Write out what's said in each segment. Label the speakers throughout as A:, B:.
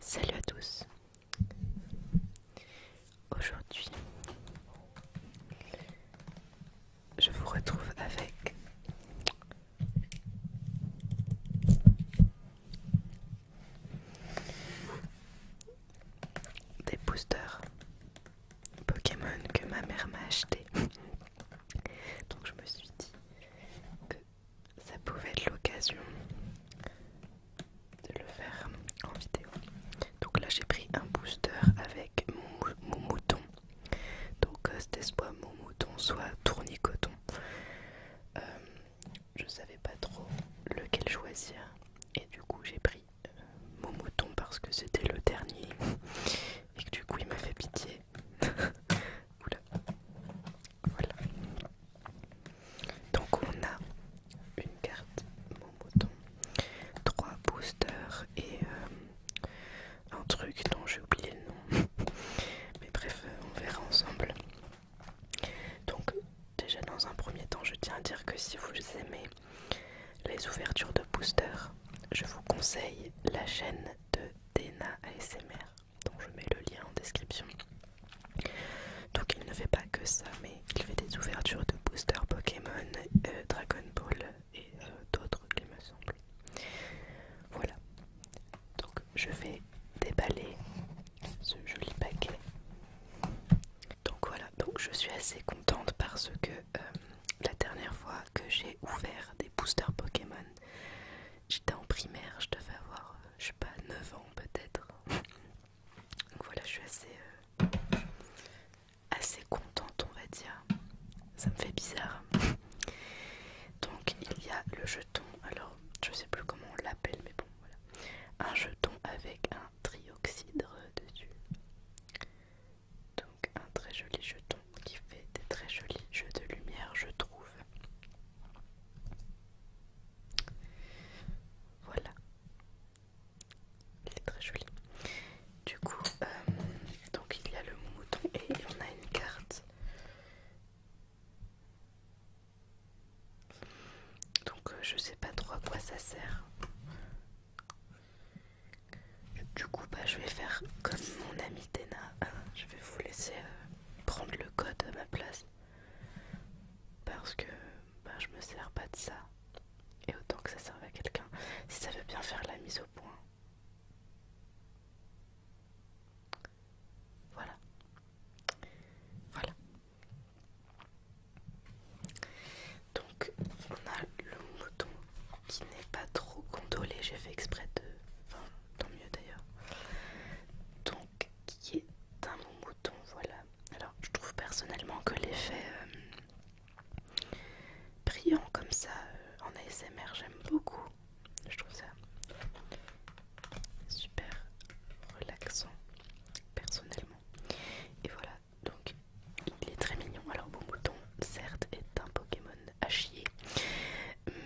A: Salut à tous. Aujourd'hui, je vous retrouve avec des boosters Pokémon que ma mère m'a acheté. Donc je me suis dit que ça pouvait être l'occasion de le faire en vidéo. Donc là j'ai pris un booster avec mon, mouton. Donc euh, c'était soit mon mouton, soit tournicoton. Euh, je savais pas trop lequel choisir et du coup j'ai pris euh, mon mouton parce que c'était le dernier et que du coup il m'a fait pitié. Oula. Voilà. Donc on a une carte mon mouton, trois boosters et euh, un truc dont j'ai oublié le nom. Mais bref, euh, on verra ensemble. Donc déjà dans un premier temps je tiens à dire que si vous aimez les ouvertures de booster, je vous conseille la chaîne de Dena ASMR dont je mets le lien en description. Donc il ne fait pas que ça mais il fait des ouvertures de booster Pokémon, euh, Dragon Ball et euh, d'autres qui me semble. Voilà. Donc je vais déballer ce joli paquet donc voilà, donc je suis assez contente parce que euh, la dernière fois que j'ai ouvert des boosters Pokémon, j'étais en primaire, je devais avoir, euh, je sais pas, 9 ans peut-être. donc voilà, je suis assez, euh, assez contente, on va dire. Ça me fait bizarre. Donc il y a le jeton, alors je sais plus comment on l'appelle, mais bon, un jeton avec un trioxydre dessus. Donc un très joli jeton qui fait des très jolis jeux de lumière, je trouve. Voilà. Il est très joli. Du coup, euh, donc il y a le mouton et il y en a une carte. Donc euh, je sais pas trop à quoi ça sert. Du coup, bah, je vais faire comme mon ami Tena. Je vais vous laisser euh, prendre le code à ma place. Parce que bah, je me sers pas de ça. Et autant que ça serve à quelqu'un. Si ça veut bien faire la mise au point. Voilà. Voilà. Donc on a le mouton qui n'est pas trop gondolé, j'ai fait exprès de... Enfin tant mieux d'ailleurs. Donc qui est un mouton, voilà. Alors je trouve personnellement que l'effet euh, brillant comme ça euh, en ASMR j'aime beaucoup. Je trouve ça super relaxant personnellement. Et voilà, donc il est très mignon. Alors mouton certes, est un Pokémon à chier,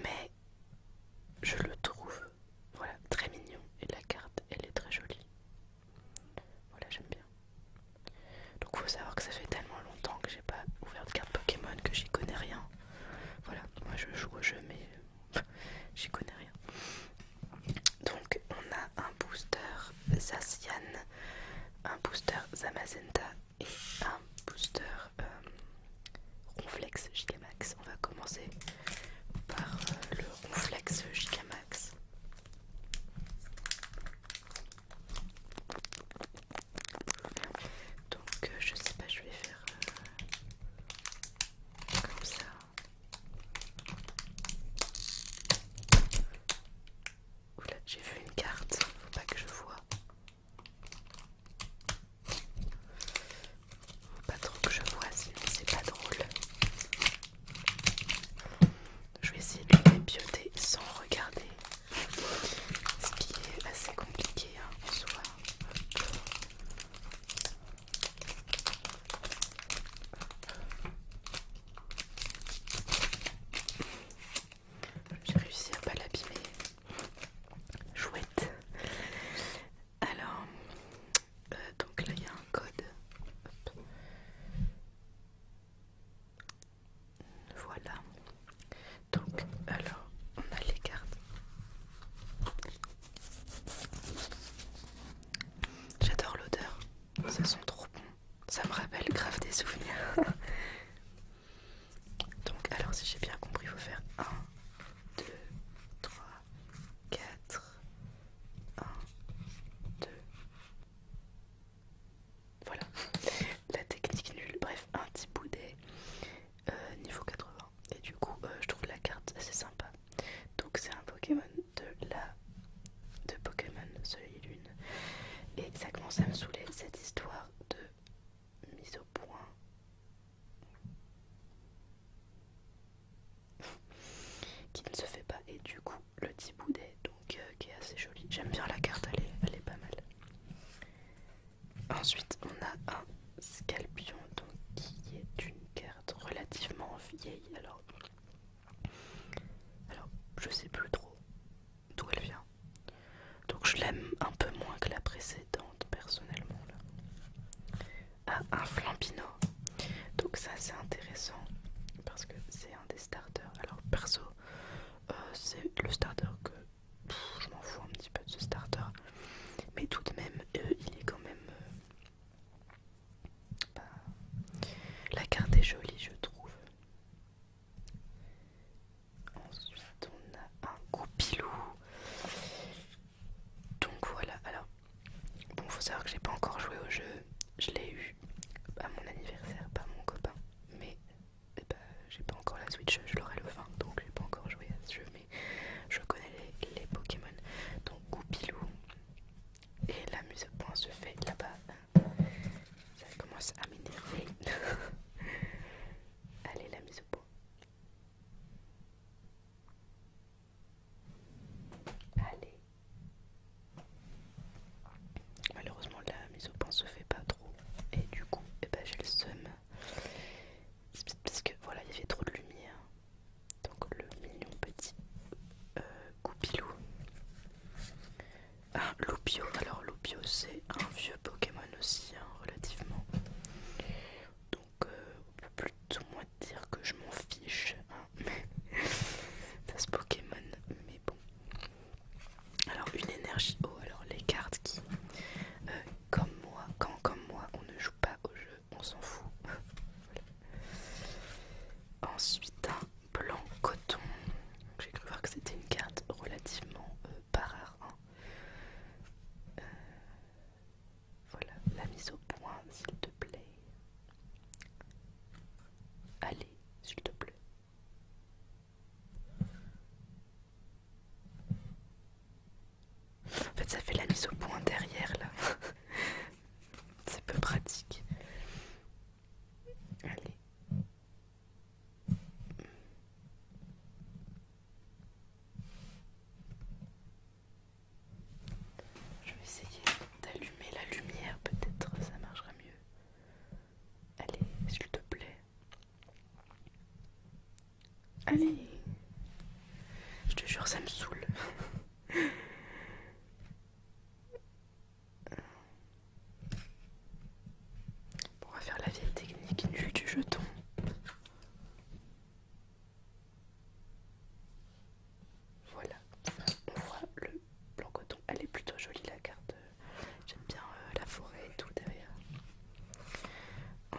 A: mais je le trouve voilà très mignon et la carte elle est très jolie. Voilà, j'aime bien. Donc faut savoir que ça fait tellement longtemps que j'ai pas ouvert de carte Pokémon que j'y connais rien. Voilà, moi je joue au jeu euh, j'y connais rien. Donc on a un booster Zacian, un booster Zamazenta et un booster euh, Ronflex Gigamax. On va commencer par euh, le Ronflex Gigamax. Donc euh, je sais pas, je vais faire comme ça j'ai vu une carte, faut pas que je vois. Faut pas trop que je voie, c'est pas drôle. Je vais essayer de pioter sans regarder. Ce qui est assez compliqué hein, j'ai réussi à pas l'abîmer. Chouette. Alors, euh, donc là il y a un code. Voilà. Donc, alors, on a les cartes. J'adore l'odeur, ça sent trop bon. Ça me rappelle grave des souvenirs. Donc, alors, si j'ai bien compris, il faut faire 1, 2, 3, 4, 1, 2. Voilà, la technique nulle. Bref, un petit boudet euh, niveau 80 et du coup euh, je trouve la carte assez sympa donc c'est un Pokémon de la de Pokémon Soleil Lune et ça commence à me saouler cette histoire de mise au point qui ne se fait pas et du coup le petit boudet donc euh, qui est assez joli j'aime bien la carte elle elle est pas mal ensuite on a un Scalpion, donc, qui est une carte relativement vieille. Alors, alors je sais plus trop d'où elle vient. Donc, je l'aime un peu moins que la précédente, personnellement. à ah, un flambino Donc, ça, c'est intéressant parce que c'est un des starters. Alors, perso, euh, c'est le starter que. je m'en fous un petit peu de ce starter. Mais tout de même, euh, il est quand même euh, la carte est jolie je trouve ensuite on a un goupilou donc voilà alors bon faut savoir que j'ai pas encore joué au jeu je l'ai eu à mon anniversaire pas mon copain mais eh ben, j'ai pas encore la switch je l'aurai le 20 donc j'ai pas encore joué à ce jeu mais je connais les, Pokémon. Donc Goupilou et la mise au point se fait là-bas. Ça commence à m'énerver. Allez, la mise au point. Allez. Malheureusement la mise au point se fait pas trop et du coup eh ben, j'ai le seum parce que voilà, il y avait trop de lumière. Donc le million petit euh, goupilou. Ah, Loupio. Alors Loupio, c'est un vieux Pokémon aussi, hein, relativement. Donc euh, on peut plutôt moins dire que je m'en fiche. Hein, mais Pokémon, mais bon. Alors une énergie haute, oh, alors les cartes qui, euh, comme moi, quand comme moi, on ne joue pas au jeu, on s'en fout. Ensuite, un blanc coton. J'ai cru voir que c'était une carte relativement euh, pas rare. Hein. Euh, voilà, la mise au point, s'il te plaît. Allez, s'il te plaît. En fait, ça fait la mise au point derrière là. C'est peu pratique. Allez. Je vais essayer d'allumer la lumière, peut-être ça marchera mieux. Allez, s'il te plaît. Allez. Je te jure, ça me saoule. bon, on va faire la vieille technique vue du jeton. Voilà, on voit le blanc coton. Elle est plutôt jolie la carte. J'aime bien euh, la forêt et tout derrière.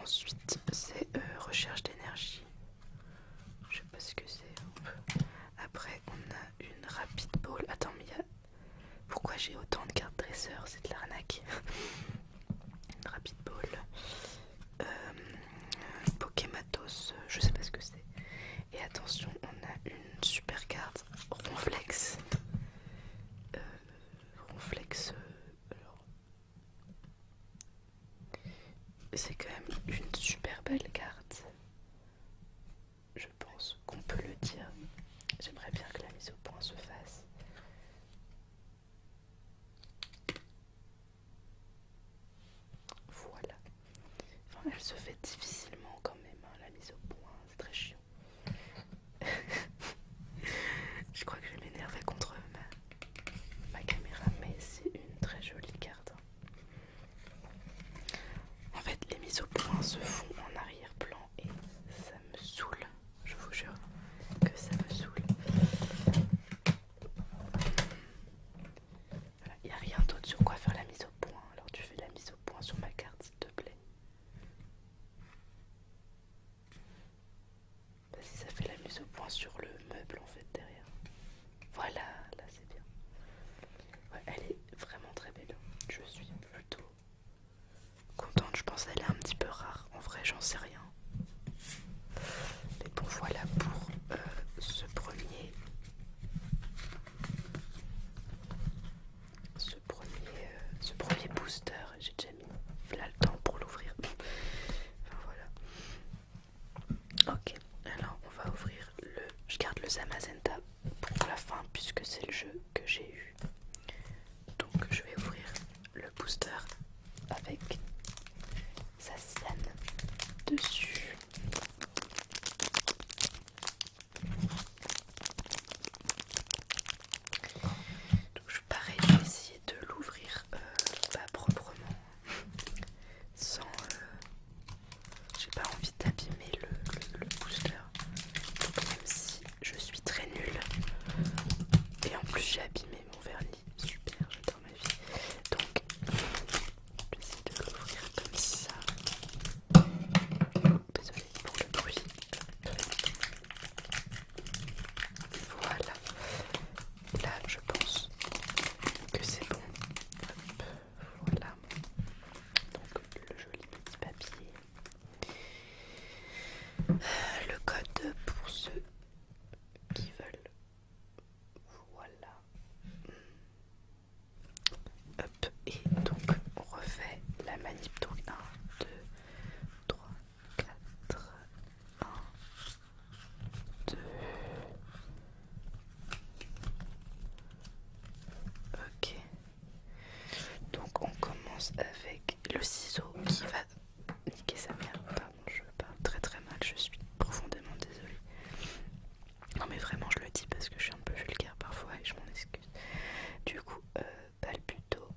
A: Ensuite, c'est euh, recherche d'énergie. Je sais pas ce que c'est. Après, on a une rapid ball. Attends, mais pourquoi j'ai autant de cartes dresseurs C'est de l'arnaque. une rapid ball. Euh, Pokématos, je sais pas ce que c'est. Et attention, on a une super carte Ronflex. Euh, Ronflex. alors, c'est quand même une super belle carte. Je pense qu'on peut le dire. J'aimerais bien que la mise au point se fasse. Voilà. elle se fait difficilement quand même, hein, la mise au point. C'est très chiant. je crois que je vais m'énerver contre ma, caméra, mais c'est une très jolie carte. Hein. En fait, les mises au point se font en arrière-plan et ça me saoule. Je vous jure que ça me saoule. il n'y a rien d'autre sur quoi faire la mise au point. Alors tu fais la mise au point sur ma carte, s'il te plaît. Si ça fait la mise au point sur le meuble en fait derrière. Voilà, là c'est bien. elle est vraiment très belle. Hein. Je suis plutôt contente. Je pense elle est un petit peu rare. En vrai, j'en sais rien. Mais bon, voilà pour euh, ce premier. Ce premier, euh, ce premier booster, j'ai là le temps pour l'ouvrir. voilà. Ok, alors on va ouvrir le. Je garde le Zamazenta pour la fin puisque c'est le jeu que j'ai eu. Donc je vais ouvrir le booster avec sa scène dessus. Donc pareil, je vais essayer de l'ouvrir pas euh, bah, proprement, sans. Euh, j'ai pas envie d'abîmer le, booster, Donc, même si je suis très nulle. Et en plus, j'ai abîmé mon vernis. Super, j'adore ma vie. Donc, je vais essayer de l'ouvrir comme ça. Désolée pour le bruit. Voilà. Là, je pense que c'est bon. Hop, voilà. Donc, le joli petit papier. Euh, le code pour ceux qui veulent. Voilà. Hop, et donc on refait la manip. Donc 1, 2, 3, 4, 1, 2. Ok. Donc on commence avec le ciseau qui va niquer sa mère. Pardon, je parle très très mal, je suis profondément désolée. Non mais vraiment je le dis parce que je suis un peu vulgaire parfois et je m'en excuse. Du coup, euh, Balbuto.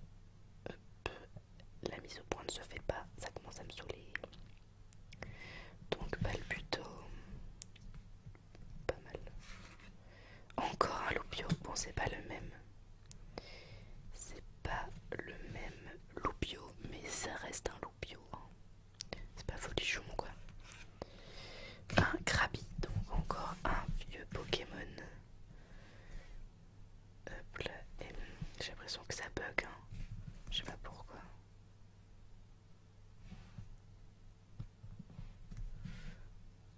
A: La mise au point ne se fait pas, ça commence à me saouler. Donc Balbuto. Pas mal. Encore un loupio. Bon, c'est pas le même. C'est pas le même loupio, mais ça reste un loupio. Hein. C'est pas folichon quoi. Un Krabi, donc encore un vieux Pokémon j'ai l'impression que ça bug, hein. je sais pas pourquoi.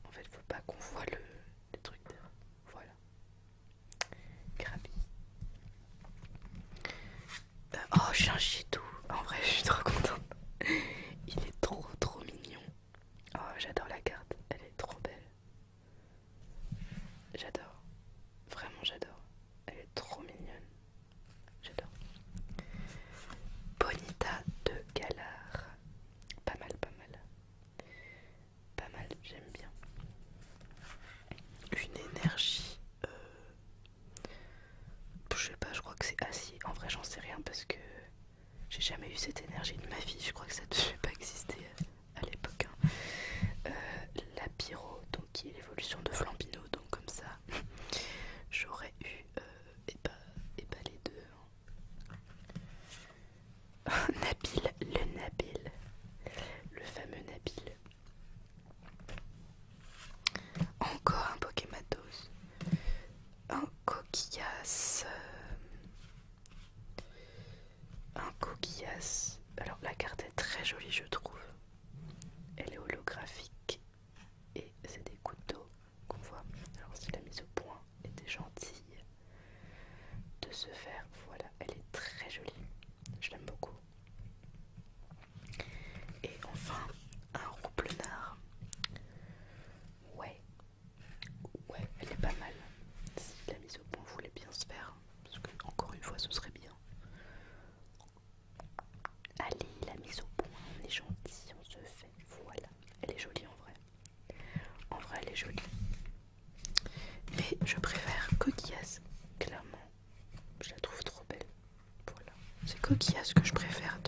A: En fait, faut pas qu'on voit le, truc Voilà. Krabi. Euh, oh, j'ai un En vrai, je suis trop contente. Il est trop trop mignon. Oh, j'adore la carte, elle est trop belle. J'adore, vraiment j'adore. Elle est trop mignonne. J'adore. Bonita de Galard. Pas mal, pas mal. Pas mal, j'aime bien. Une énergie. Euh, je sais pas, je crois que c'est assis, En vrai, j'en sais rien parce que j'ai jamais eu cette énergie de ma vie, je crois que ça ne devait pas exister à l'époque. Hein. Euh, la pyro, donc qui est l'évolution de Flambino, donc comme ça, j'aurais eu euh, et, pas et les deux. Hein. Nabil, le Nabil, le fameux Nabil. Encore un Pokématos un coquillasse. Euh, un coquillasse. Alors la carte est très jolie je trouve. Elle est holographique et c'est des couteaux qu'on voit. Alors si la mise au point était gentille de se faire, voilà, elle est très jolie. Je l'aime beaucoup. Et enfin, un nard. Ouais, Ouais, elle est pas mal. Si la mise au point voulait bien se faire, parce que encore une fois, ce serait bien. Allez, la mise au point, on est gentil, on se fait. Voilà, elle est jolie en vrai. En vrai, elle est jolie. Mais je préfère Coquillasse, clairement. Je la trouve trop belle. Voilà, c'est coquillas que je préfère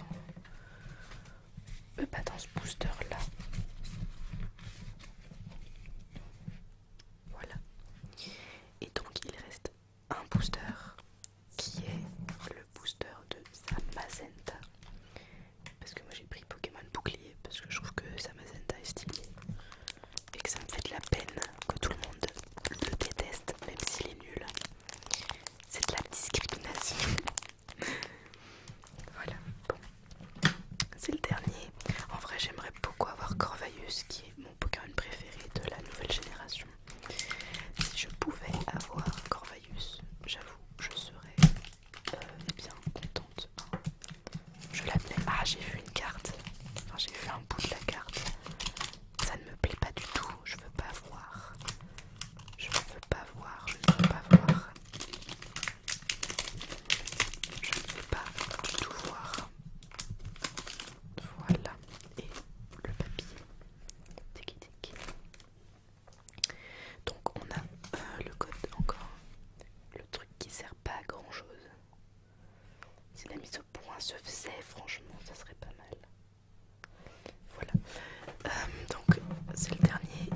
A: euh, bah, dans ce booster là. Voilà. Et donc il reste un booster qui est le booster de Samazenta. Parce que moi j'ai pris Pokémon Bouclier parce que je trouve que Samazenta est stylé. Et que ça me fait de la peine que tout le monde le déteste même s'il est nul. C'est de la discrimination. Voilà, C'est le dernier. En vrai, j'aimerais beaucoup avoir Corvaius, qui est mon Pokémon préféré de la nouvelle génération. Si je pouvais avoir Corvaius, j'avoue, je serais euh, bien contente. Je l'appelais. Ah, j'ai vu une carte. Enfin, j'ai vu un bout de la carte. Ça ne me plaît pas du tout. Je veux pas voir. Je ne veux pas voir, je ne veux pas voir. Je ne veux pas du tout voir. Voilà. Et le papier. Donc on a euh, le code encore. Le truc qui sert pas à grand chose. Si la mise au point se faisait, franchement, ça serait pas mal. Voilà. Euh, donc c'est le dernier,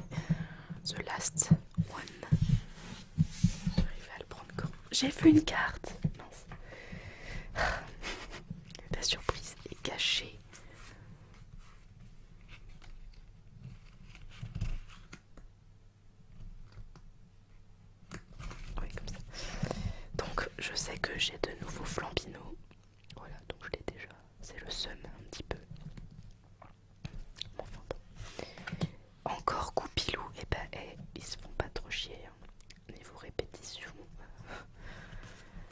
A: the last one. à le prendre J'ai vu une carte. Ah. La surprise est cachée. comme ça. Donc je sais que j'ai de nouveaux flambino. Voilà, donc je l'ai déjà. C'est le seum un petit peu. Encore coupilou et eh bah ben, eh, ils se font pas trop chier. Niveau hein. répétition.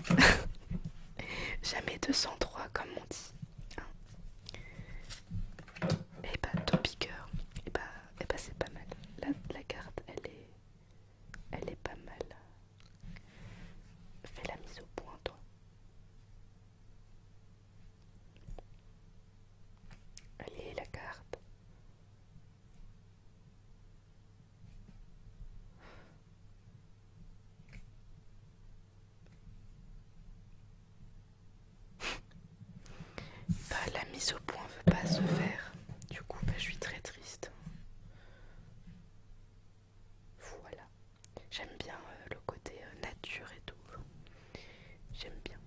A: Jamais 203 comme on dit. Et hein. bah eh ben, Et bah, ben, ben, c'est pas mal. La, la carte elle est. Elle est pas mal. Fais la mise au point, toi. Allez, la carte. Bah, la mise au point veut pas se faire. Du coup, bah, je suis très triste. Voilà. J'aime bien euh, le côté euh, nature et tout. J'aime bien.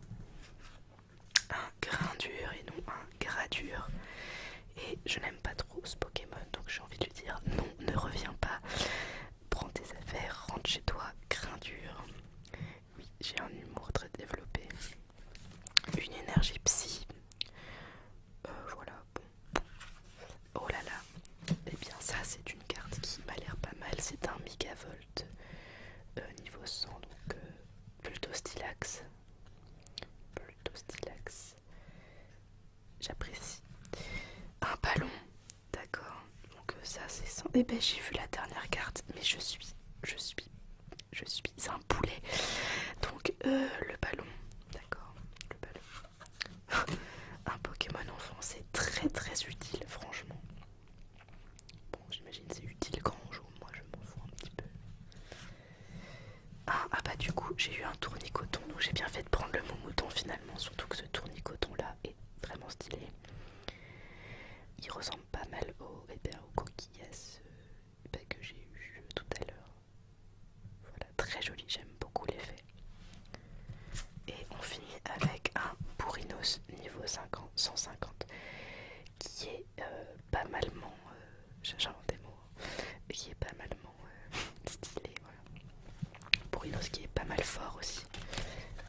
A: Un grain dur et non un gras dur. Et je n'aime pas trop ce Pokémon, donc j'ai envie de lui dire non, ne reviens pas. Prends tes affaires, rentre chez toi, grain dur. Oui, j'ai un humour très développé. Une énergie psy. Euh, voilà, Oh là là. Et eh bien ça c'est une carte qui m'a l'air pas mal. C'est un mégavolt euh, niveau 100 donc euh, plutôt stylax. Plutôt stylax. J'apprécie. Un ballon. D'accord. Donc euh, ça c'est 100. Et eh ben j'ai vu la dernière carte mais je suis je suis je suis un poulet. Donc le ballon. D'accord. Le ballon. Un Pokémon enfant, c'est très très utile, franchement. Bon, j'imagine c'est utile quand on joue, moi je m'en fous un petit peu. Ah, ah bah du coup, j'ai eu un tournicoton, donc j'ai bien fait de prendre le mouton finalement, surtout que ce tournicoton là est vraiment stylé. Il ressemble pas mal au, eh euh, bah, que j'ai eu euh, tout à l'heure. Voilà, très joli, j'aime beaucoup l'effet. Et on finit avec un Bourrinos niveau 150 euh, euh, hein, qui est pas malement, j'ai j'invente des mots, qui est pas malement stylé, voilà. qui est pas mal fort aussi,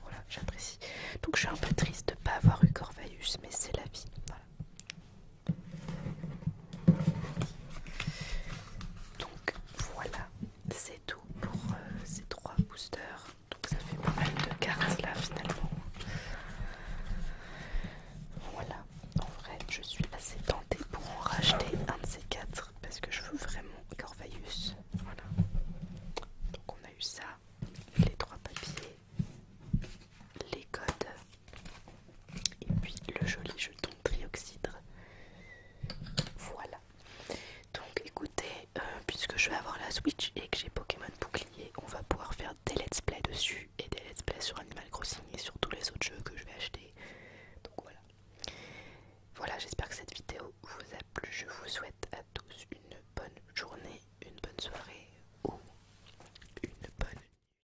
A: voilà, j'apprécie. Donc je suis un peu triste de pas avoir eu Corvaeus, mais c'est la vie, donc voilà, c'est tout pour euh, ces trois boosters. Donc ça fait pas mal de cartes là finalement. Voilà, en vrai je suis assez tentée pour en racheter un de ces quatre parce que je veux vraiment Corvaeus. Voilà. Donc on a eu ça, les trois papiers, les codes et puis le joli jeton trioxydre. Voilà. Donc écoutez, euh, puisque je vais avoir la Switch et que j'ai Pokémon bouclier, on va pouvoir faire des let's play dessus et des let's play sur Animal Crossing et sur tous les autres jeux que je vais acheter. Donc voilà. Voilà, j'espère que cette vidéo vous a plu. Je vous souhaite à tous une bonne journée, une bonne soirée ou une bonne